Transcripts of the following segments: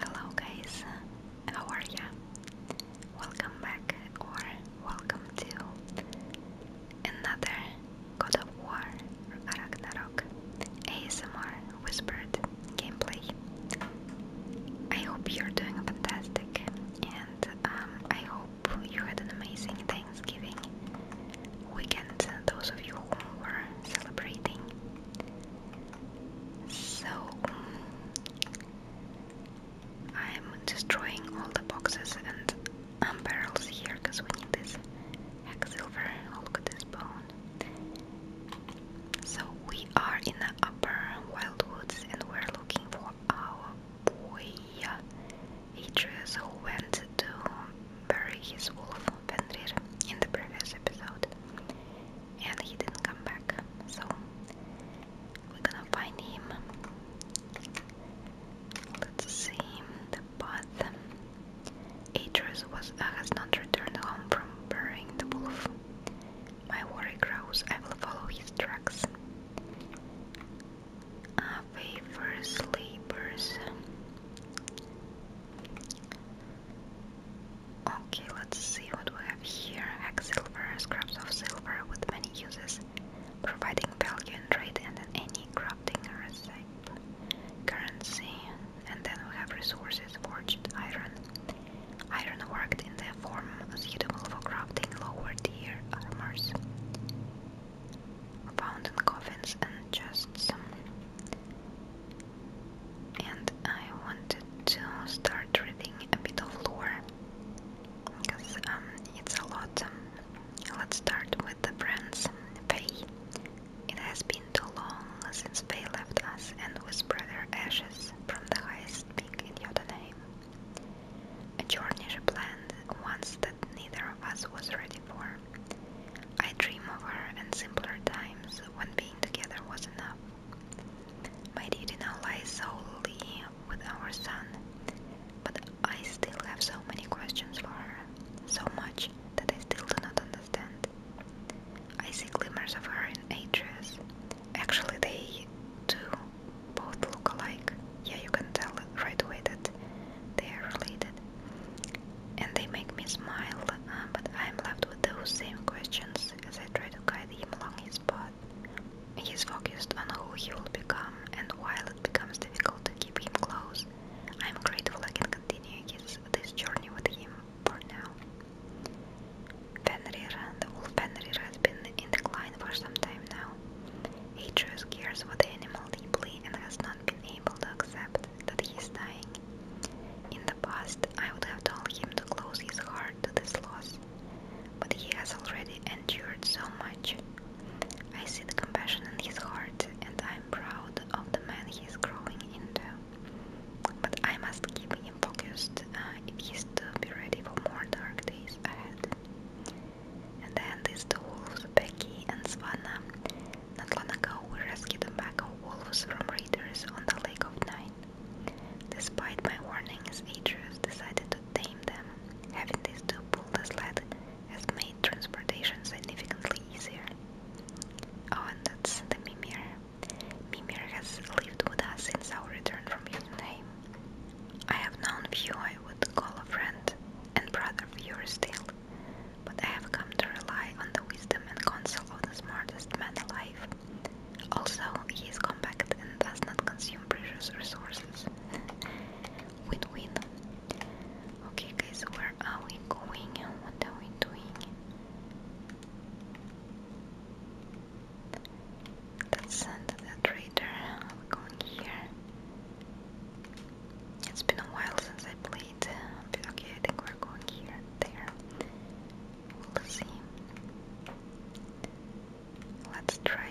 Hello guys, how are you? Welcome back or welcome to another God of War Ragnarok ASMR Whispered gameplay. I hope you're doing fantastic and um, I hope you had an amazing Thanksgiving weekend, those of you who were celebrating. So I'm destroying all the boxes and um, barrels here because we need this Hacksilver. Oh, look at this bone. So we are in the upper wildwoods and we're looking for our boy Atreus who went to bury his wolf Fenrir in the previous episode and he didn't come back. So we're gonna find him. Let's see the path. Atreus was uh, has not returned home from burying the wolf. My worry grows. I will follow his tracks. Uh, favors, labors. Okay, let's see what we have here. Hex silver, scraps of silver with many uses, providing value in trade and any crafting recipe, currency, and then we have resources, forged iron. Iron worked in the form suitable for crafting lower tier armors. Found in coffins and chests and I wanted to start reading a bit of lore because um, it's a lot. Um, let's start with the friends. Faye. It has been too long since Faye left us and whispered her ashes from the highest peak in Jotunheim. A journey she planned once that neither of us was ready for. I dream of her and simpler times when being together was enough. My duty now lies solely with our son, but I still have so many questions for her, so much that I still do not understand. I see glimmers of her in Atreus. Actually, they do both look alike. Yeah, you can tell right away that they are related. And they make me smile, uh, but I am left with those same questions as I try to guide him along his path. He's focused on who he will become, and while it becomes difficult to keep him close, I'm grateful I can continue his, this journey with him for now. Fenrir, the wolf Fenrir, has been in decline for some time now. He truly cares for the deeply and has not been able to accept that he is dying the past, I would have told him to close his heart to this loss, but he has already endured so much. I see the compassion in his heart, and I am proud of the man he is growing into. But I must keep him focused uh, if he's is to be ready for more dark days ahead. And then these two wolves, Becky and Svana. Not long ago, we rescued a pack of wolves from raiders on the Lake of Night. Despite my warnings, Atreus decided to tame them. Having these two pull the sled has made transportation significantly easier. Oh, and that's the Mimir. Mimir has lived with us since our return from Jotunheim. I have known few I would call a friend and brother fewer still, but I have come to rely on the wisdom and counsel of the smartest man alive. Also, he is compact and does not consume precious resources. Win-win. okay, guys, where are we going? What are we doing? Let's trader. We're going here. It's been a while since I played. Okay, I think we're going here. There. We'll see. Let's try.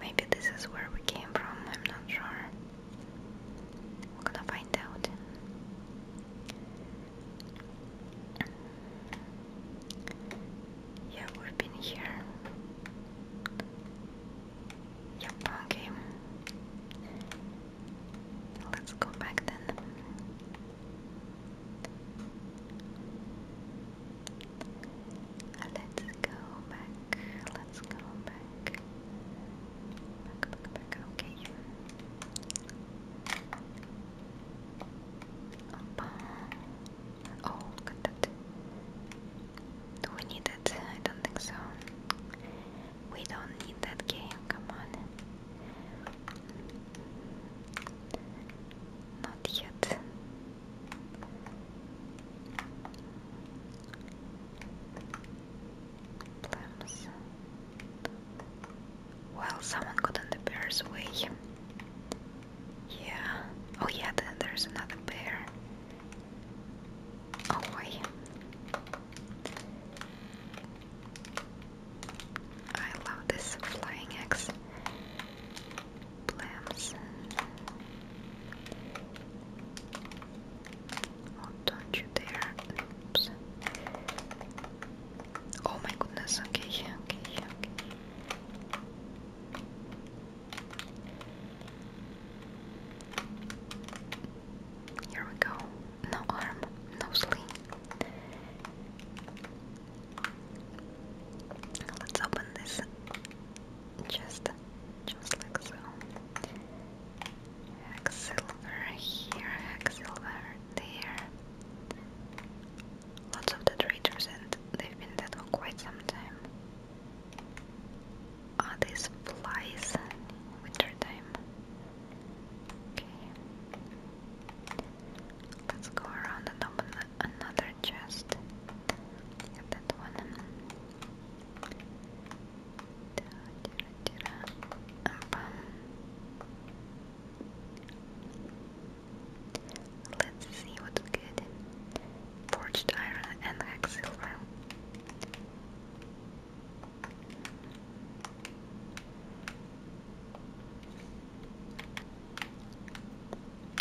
Maybe this is where we came from, I'm not sure. We're gonna find out. Yeah, we've been here. Yep, okay. Let's go back then. Let's go back. Let's go back. Back, back, back. Okay. Uh, oh, got that. Do we need it? I don't think so. We don't need that game, come on. Not yet. Plums. Well, someone got in the bear's way. Yeah. Oh, yeah, there's another bear. Oh, boy. I love this flying X Plants. Oh, don't you dare. Oops. Oh my goodness, okay, okay, okay. Here we go no arm, no sleeve. Let's open this just just like so. Hacksilver here, Hacksilver there. Lots of the and they've been dead for quite some time. Are ah, these flies? Winter time. Okay. Let's go around and open another chest. that one. Let's see what's good. Forged iron and hex silver.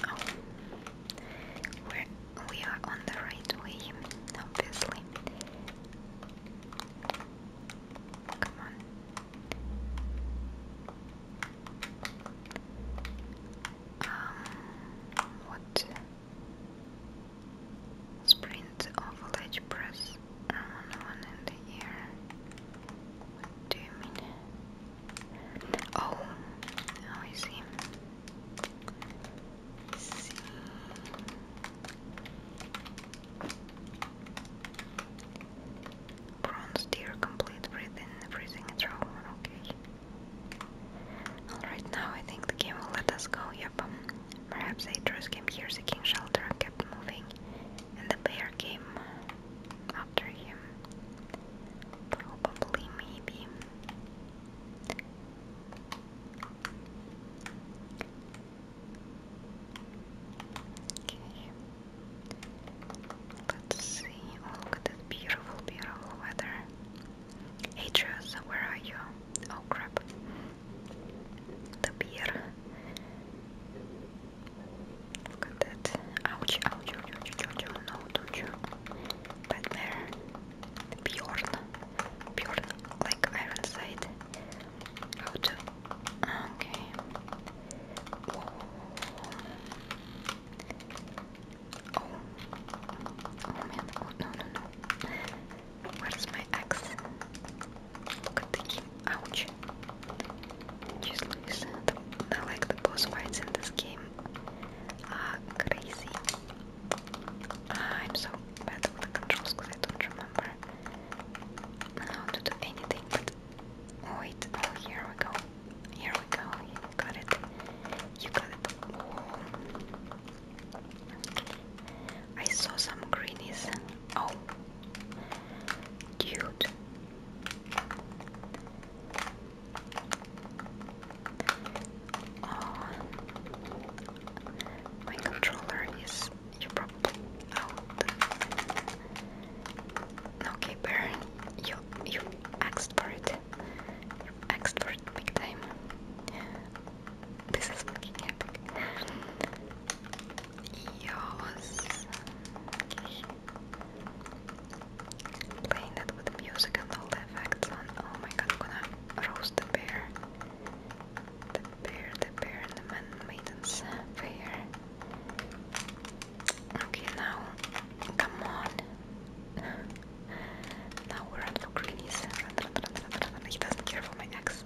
Oh, we're, on the right way, obviously. Um, what? Sprint minutes of ledge press on one in the ear. do you mean? Oh, now I see. Bronze deer complete breathing, freezing throw. Okay. Alright, now I think the game will let us go. Yep. Perhaps Atreus came here seeking shelter and kept moving, and the bear came after him. Probably, maybe. Okay. Let's see. Oh, look at this beautiful, beautiful weather. Atreus, where are you? Oh crap the beer. Look at Ouch, ouch, ouch, ouch, ouch, ouch. Oh no, don't Nightmare. Bjorn. Bjorn, like Ironside. How Okay. Oh. Oh man. Oh, no, no, no. Where's my axe? Look at the game. Ouch. Just listen. I like the boss fights in this game. Ah, crazy. Ah, I'm so bad with the controls because I don't remember how to do anything. But wait, oh, here we go. Here we go. You got it. You got it. Oh. I saw some greenies. Oh, Cute. Oh, my controller is you Okay, Baron, you you asked for it. You asked for big time. This is fucking Епик. Playing that with music and all the effects on. Oh my god, I'm gonna roast the bear. The bear, the bear, and the man maiden's bear. Okay, now, come on. now we're on for greenies. He doesn't care for my ex.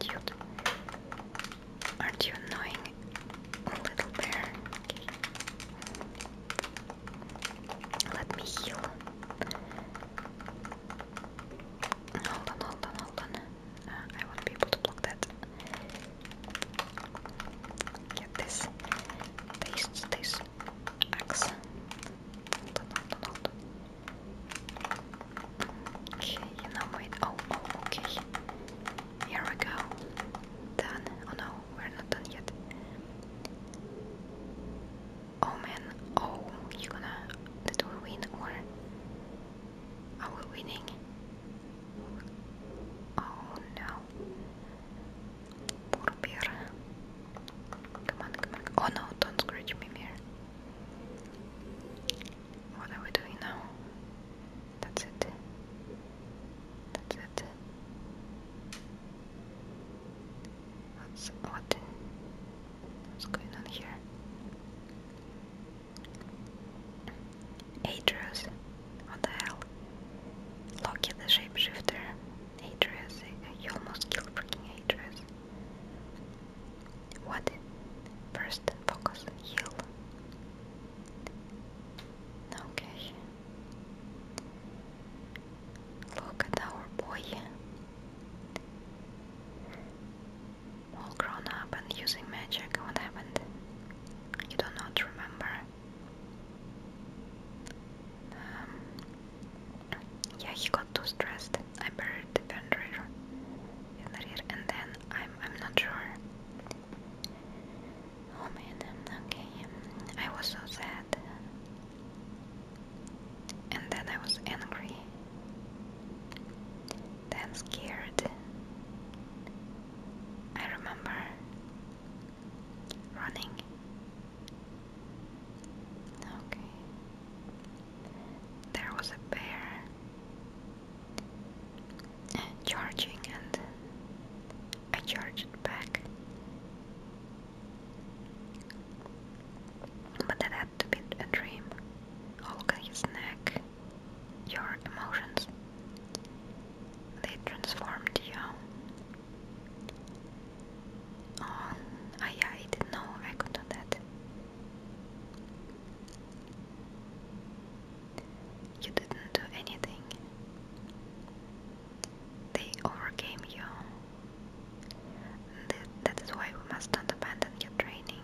Dude. Aren't you annoying, little bear? Okay. Let me heal. Hold on, hold on, hold on. Uh, I won't be able to block that. Get this. Taste this axe. Hold on, hold on, hold on. Okay, no wait, oh, oh, okay. Here we go. Done. Oh no, we're not done yet. Oh man, oh, you gonna, did we win or are we winning? Oh no. Poor bear. Come on, come on. Oh no, don't scratch me, here. What are we doing now? That's it. That's it. What's What's going on here? Atreus, what the hell? Loki the shapeshifter. Atreus, you almost killed freaking Atreus. What? First focus heal. Okay. Look at our boy. All grown up and using magic. What happened? You do not remember. Um, yeah, he got too stressed. I buried the vendor the rear, and then I'm I'm not sure. Oh man, okay. I was so sad, and then I was angry, then scared. I remember running. Okay there was a bear charging, and I charged back. But that had to be a dream. Oh, his neck. Your emotions. They transformed you. Oh, I didn't know I could do that. You didn't do anything. They overcame you. that is why we must not abandon your training.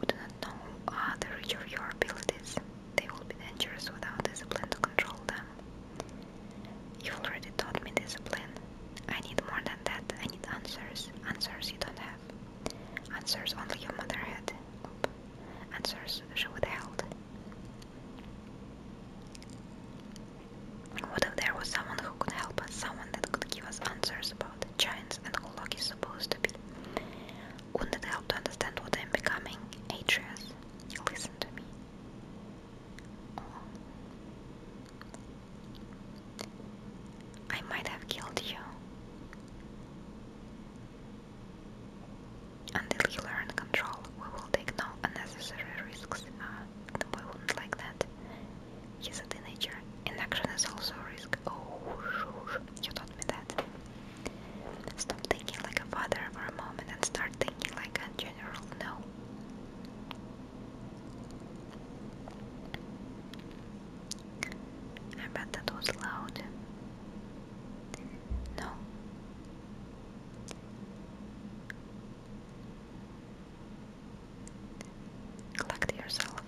We do not know the reach of your abilities. They will be dangerous without discipline to control them. You've already taught me discipline. I need more than that. I need answers. Answers you don't have. Answers only your mother had. Answers she would held. What if there was someone who could help us, someone that could give us answers about the giants and who Loki is supposed to be? Wouldn't it help to understand what I'm becoming? Atreus, listen to me. I might have killed you. Until you control, we will take no unnecessary risks. Uh, the not like that. He's a teenager. Inaction is also risk. Oh, you taught me that. Stop thinking like a father for a moment and start thinking like a general no. I bet that was loud. No. Collect yourself.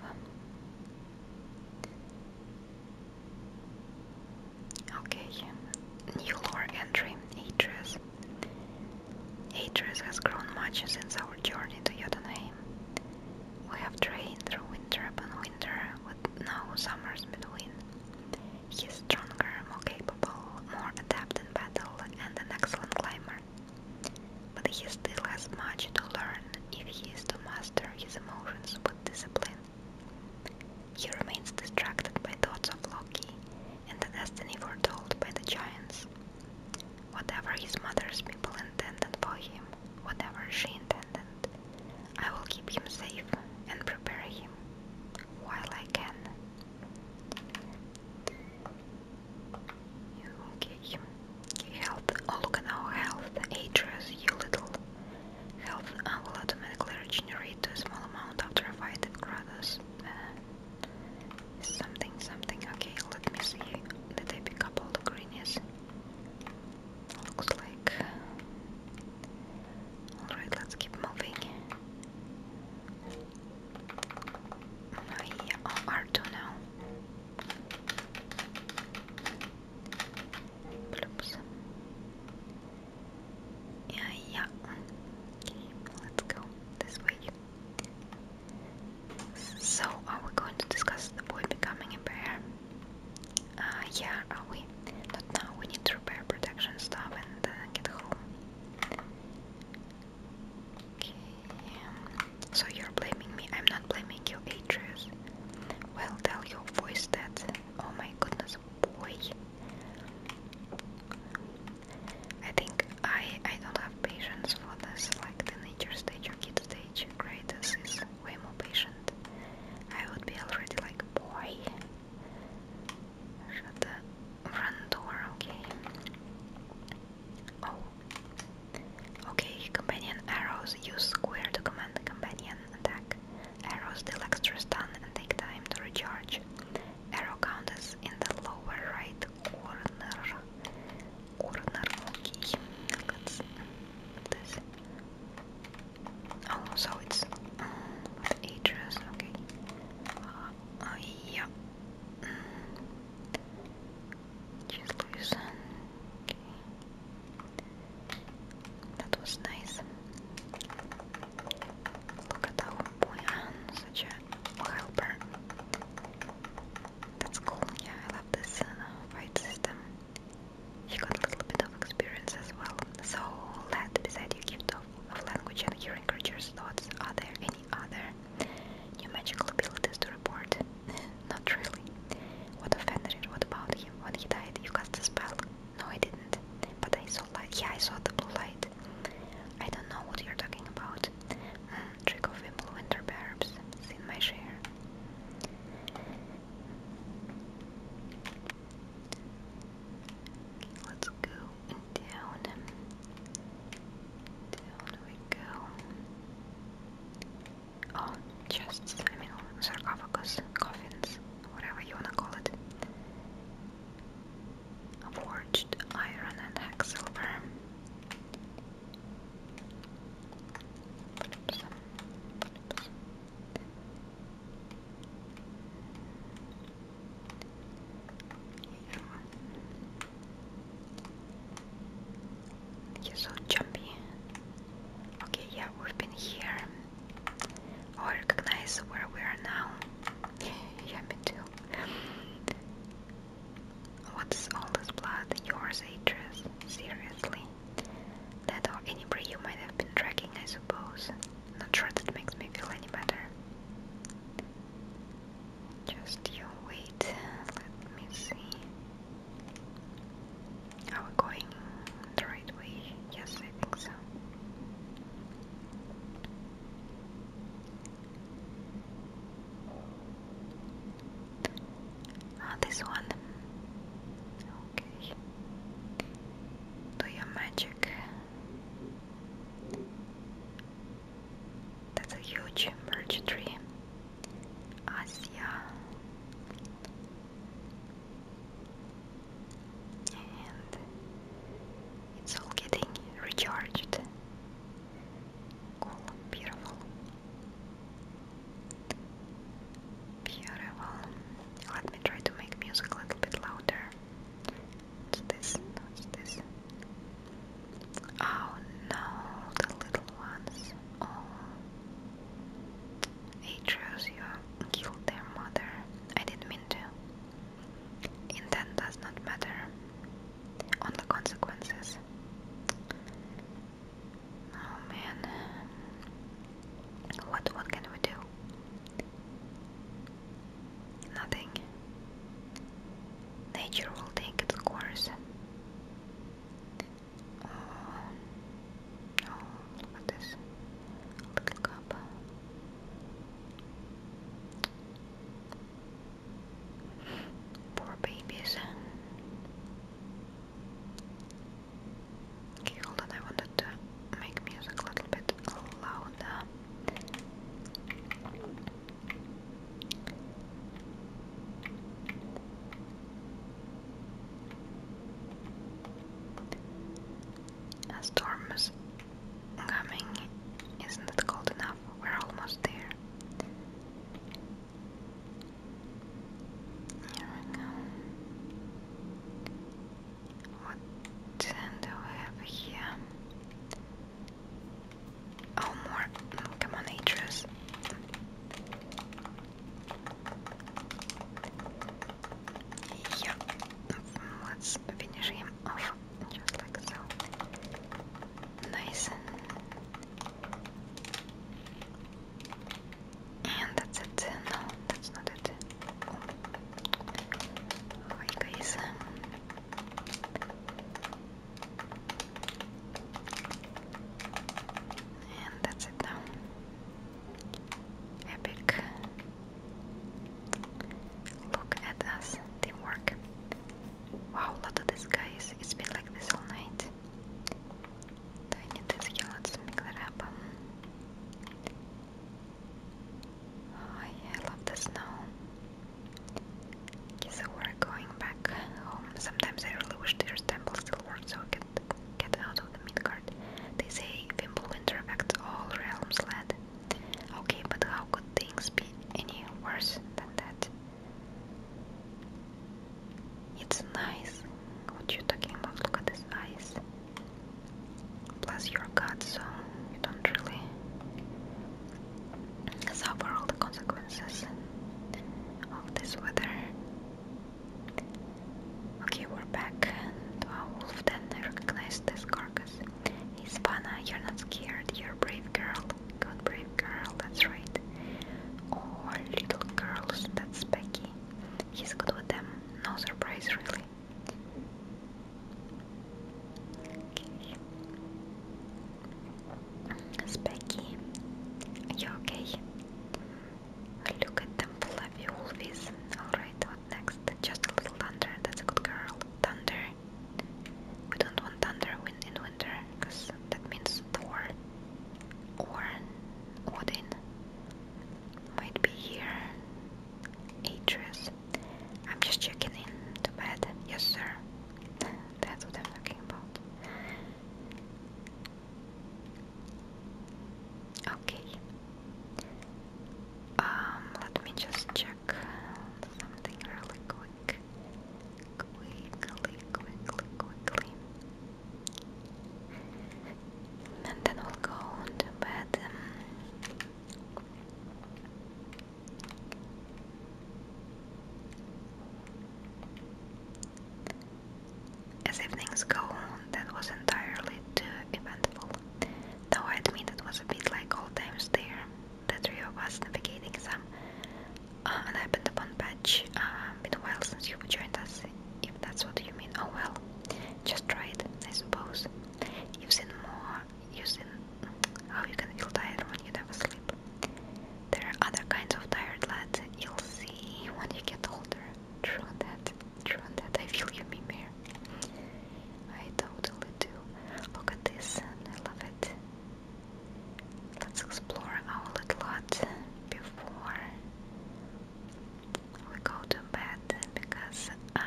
Okay, new lore entry, Atreus. Atreus has grown much since our journey to Jotunheim same. We have trained through winter upon winter with no summers between. He is stronger, more capable, more adept in battle, and an excellent climber. But he still has much to learn if he is to master his emotions with discipline. He remains distracted by thoughts of Loki and the destiny foretold by the giants. Whatever his mother's people intended for him, whatever she intended, I will keep him safe and prepare him while I can. Okay, health. Oh, look at our health. Atreus, you little. Health uh, will automatically regenerate a small amount after a fight at uh, something, something. Okay, let me see. Did I pick all the Looks like. Alright, let's keep moving. yeah. oh, R2 now. Bloops. Yeah, yeah. let's go this way. So, are we going to discuss the boy becoming a bear? Uh, yeah, are we? Not now, we need to repair protection stuff and then uh, get home. Okay, so you're blaming me, I'm not blaming you, Atreus. Well, tell your voice that. Oh my goodness, boy. I think I I don't have patience for this, like the nature stage or kid stage. Greatest is way more patient. I would be already like, boy, shut the front door, okay? Oh. Okay, companion arrows. Use square to command companion attack. Arrows deal extra stun and take time to recharge. Arrow counters in the lower right corner. Urnaroki. That's this. Oh, so it's um, address, okay. Uh, yeah. Just listen. That was nice. Look at our boy, such a helper. That's cool. Yeah, I love this uh, fight system. You got a little bit of experience as well. So, that besides your gift of, of language and hearing creatures' thoughts, are there any other new magical abilities to report? Not really. What of Fenrir? What about him? When he died, you cast a spell? No, I didn't. But I saw light. Yeah, I saw the blue light. I don't know what you're talking about. Mm, trick of Implementer, perhaps. It's in my share let's go down. Down we go. Oh, chests. I mean, sarcophagus, coffins, whatever you wanna call it. Forged iron and hex silver. You're so jumpy. Okay, yeah, we've been here. I recognize where we are now. yeah, me too. What's all this blood? Yours, Atreus? Seriously? That or any prey you might have been tracking, I suppose. Not sure that makes me feel any better. Just you wait. Let me see. Are we going the right way? Yes, I think so. Ah, this one. Okay. Do your magic. That's a huge merge tree. Asia. And it's all getting recharged. Cool, beautiful. Beautiful. Let me try to make music a little bit louder. this? this? Oh no, the little ones. Oh. Atreus, you killed their mother. I didn't mean to. Intent does not matter. Only consequences. Oh man. What what can we do? Nothing. Nature will take its course. Oh, look at this little cup. Poor babies. Okay, hold on, I wanted to make music a little bit louder. A storm is coming. Isn't it cold enough? We're almost there. What then do we have here? Oh, more. Mm, come on, Atreus. Yeah, let's finish him off just like so. Nice and that's it. No, that's not it. Oh. guys. Um, and that's it now. Epic. Look at us. Teamwork. Wow, a lot of guys. It's been like this all night. Tainnetes yalatsı miklere Oh yeah, I love the snow. Guess we're going back home. Sometimes I really wish their temple still worked so I could get out of the Midgard. They say Wimbledon affects all realms, lad. Okay, but how could things be any worse than that? It's nice. What you are talking about? Look at his eyes. Plus you're God, so you don't really suffer all the consequences of this weather. Okay, we're back to our uh, wolf den. I recognize this carcass. Hispana, uh, you're not scared. You're brave girl. Good brave girl, that's right. All little girls, that's Becky. He's good with them, no surprise really. Okay. Becky. Are you okay? Look at them fluffy wolfies. Alright, what next? Just a little thunder, that's a good girl. Thunder. We don't want thunder in because that means Thor or Odin might be here. Atreus. I'm just checking in to bed. Yes, sir. That's what I'm talking about. Okay. Um, let me just check something really quick quickly, quickly, quickly. And then we'll go to bed. Um, as evenings go, that was entirely too eventful. Though I admit it was a bit like old times there, the three of navigating some uh, and I've been the Bond Patch. Uh, been a while since you joined us, if that's what you mean. Oh well, just try it, I suppose. You've seen more, you've seen how you can feel tired when you never sleep. There are other kinds of tired lads you'll see when you get older. True on that, true on that, I feel you, Mimir. I totally do. Look at this, I love it. Let's explore our little lot before we go to bed because um,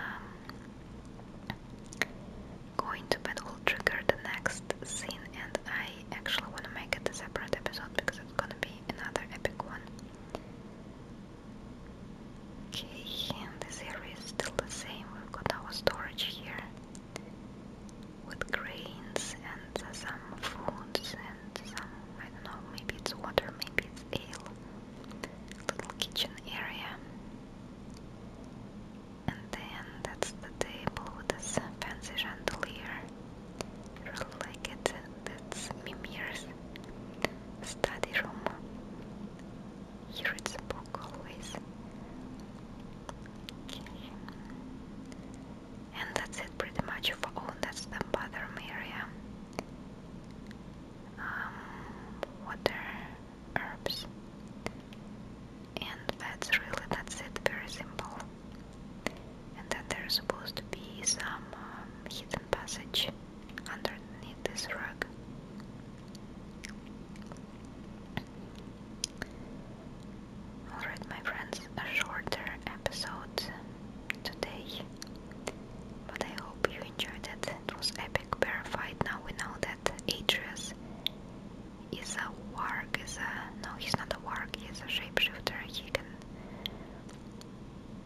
going to bed will trigger the next scene and I actually want to make it a separate episode because it's gonna be another epic one. Okay, and this area is still the same. We've got our storage here with grains and some foods and some, I don't know, maybe it's water, maybe it's ale. Little kitchen area. And then that's the table with this fancy chandelier. really like it. That's Mimir's study room. He reads a book always. And that's it pretty much for all that stamp bathroom area. Um, water, herbs. And that's really, that's it, very simple. And then there's supposed to be some um, hidden passage underneath this rug. Alright, my friends, a shorter episode today, but I hope you enjoyed it. It was epic, verified. Now we know that Atreus is a warg, is a no, he's not a warg. He's a shapeshifter. He can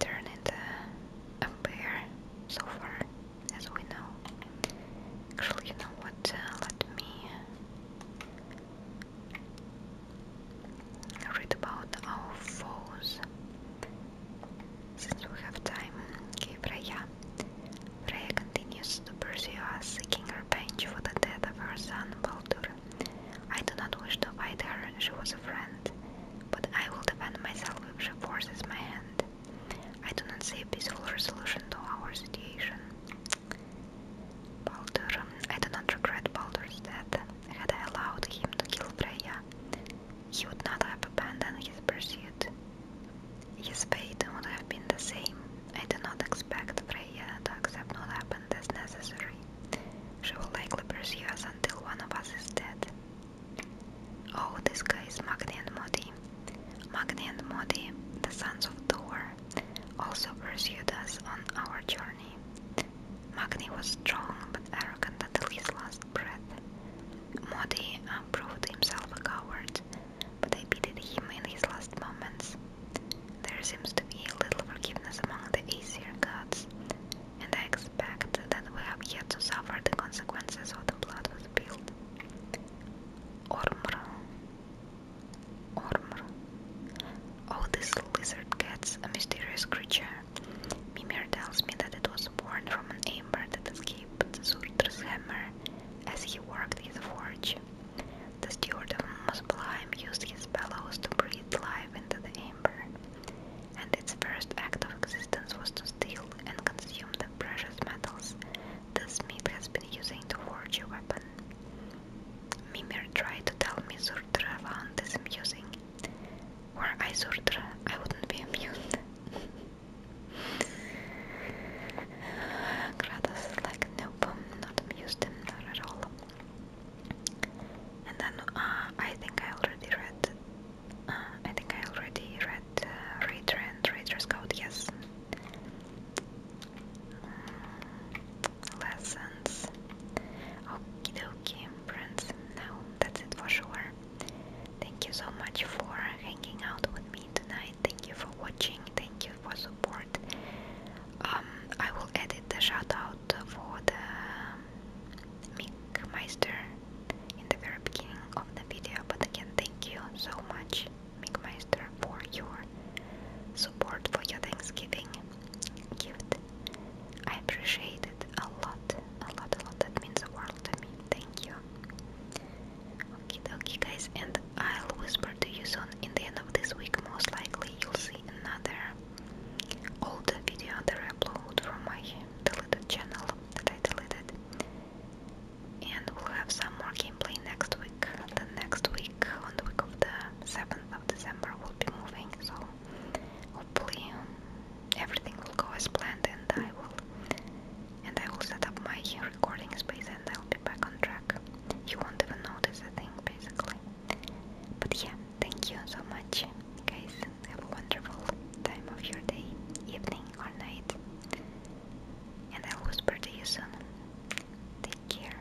turn into a bear. So far, as we know. Actually, you know what? Uh, let me read about our foes. Since we have time, okay, Freya. continues to pursue us, seeking revenge for the death of her son Baldur. I do not wish to fight her, she was a friend, but I will defend myself if she forces my hand. I do not see a peaceful resolution to our situation. Baldur, I do not regret Baldur's death had I allowed him to kill Freya, he would not have abandoned his pursuit. His fate would have been the same. I do not expect Freya to accept what happened as necessary. She will likely pursue us until one of us is dead. Oh, this guy's Magne and Modi. Magne and Modi, the sons of Thor, also pursued us on our journey. Magni was strong but arrogant at least last breath. Modi proved himself a coward, but I pitied him in his last moments. There seems to be a little forgiveness among the Aesir gods, and I expect that we have yet to suffer the consequences of the blood spilled. Ormr Oh, this lizard gets a mysterious creature. Mimir tells me that it was born from an ember that escaped Surtr's hammer as he worked his forge. The steward of Muspelheim used his bellows to breathe life into the ember, and its first act of existence was to steal and consume the precious metals the smith has been using to forge a weapon. Mimir tried to tell me Surtra found this amusing. Were I Surtra, I wouldn't be amused. Kratos is like, nope, not amused, not at all. And then I think I already read. I think I already read uh, uh and Raider's Code. Yes lessons. Okie dokie, friends. Now that's it for sure. Thank you so much for hanging out with me tonight. Thank you for watching. Thank you for support. Um, I will edit the shout out for the um, Mickmeister in the very beginning of the video. But again, thank you so much, Mickmeister, for your support for your Thanksgiving. Cute. I appreciate it a lot, a lot, a lot. That means the world to me. Thank you. Okay, okay, guys, and I'll whisper to you soon. In the end of this week, most likely you'll see another old video that I upload from my deleted channel that I deleted. And we'll have some more gameplay next week. The next week, on the week of the 7th of December, we'll be moving, so hopefully um, everything will go as planned and I will and I will set up my recording space and I'll be back on track. You won't even notice a thing basically. But yeah, thank you so much guys. Have a wonderful time of your day, evening or night. And I'll whisper to you soon. Take care.